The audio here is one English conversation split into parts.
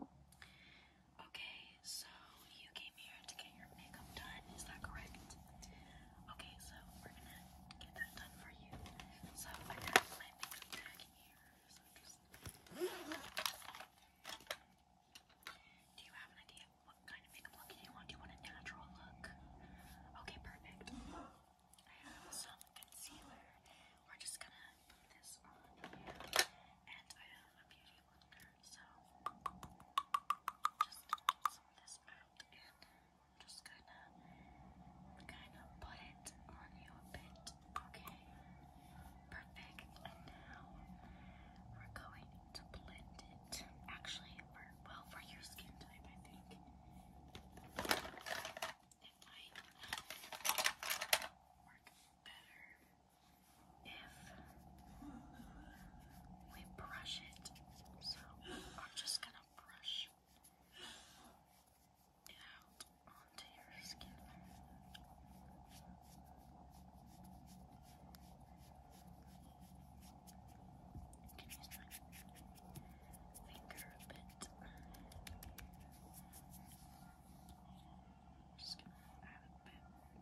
Okay, so you came here to get your makeup done, is that correct? Okay, so we're gonna get that done for you. So I have my makeup bag here. So just do you have an idea what kind of makeup look you want? Do you want a natural look? Okay, perfect. I have some concealer. We're just gonna this on and I have a beauty blender, so just get this out, and I'm just gonna kind of put it on you a bit, okay? Perfect, and now we're going to blend it, actually, well, for your skin type, I think it might work better if we brush it. So I'm just gonna brush it out onto your skin. Can you stretch? finger a bit. Just gonna add a bit.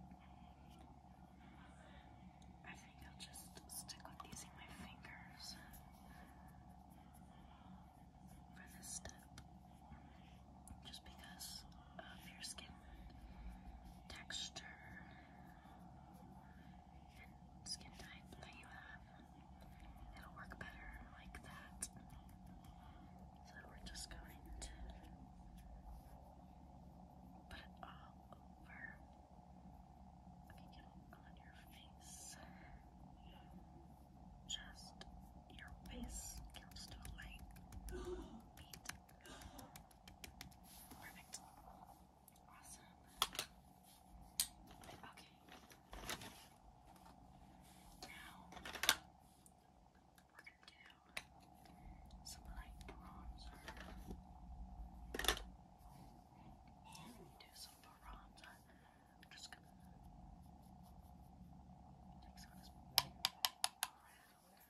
I think I'll just stick with using my fingers for this step. Just because of your skin texture and skin type that you have. It'll work better like that. So we're just going to put it all over. Okay, get it on your face. Just your face comes to light. Perfect. Awesome. Okay. Now we're gonna do some light bronzer. And do some bronzer. I'm just gonna take some of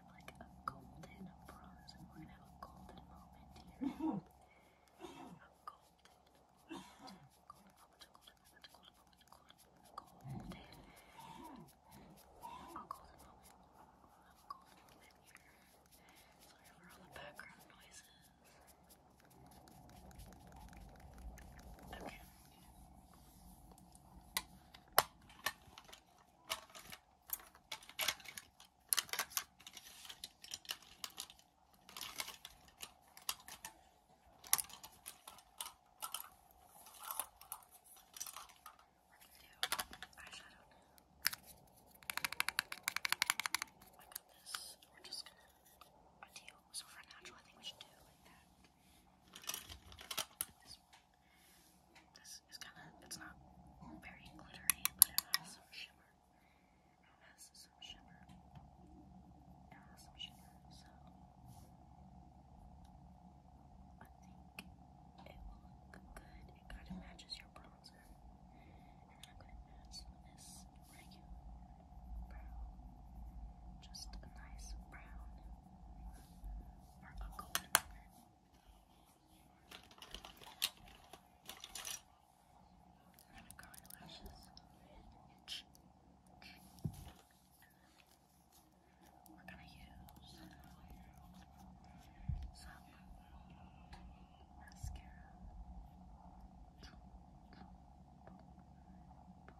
like a golden bronze. We're gonna have a golden moment here. A golden, moment, a golden moment, a golden moment, a golden moment, a golden moment. A golden moment. A golden moment Sorry for all the background noises. Okay this. We're just gonna a deal. So for natural, I think we should do it like that. Like this one. This is kind of, it's not very glittery, but it has some shimmer. It has some shimmer. It has some shimmer, so I think it will look good. It kind of matches your bronzer. And I'm going to add some of this regular brown. Just a nice brown or uncle whatever. And I'm gonna curl your lashes. We're gonna use some mascara. Boom, boom, boom, boom,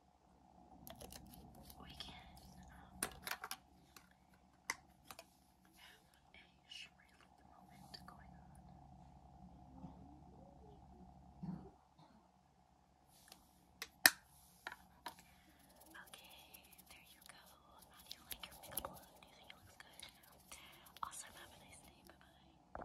we Okay, there you go. How do you like your makeup Do you think it looks good? Also, have a nice day. Bye bye.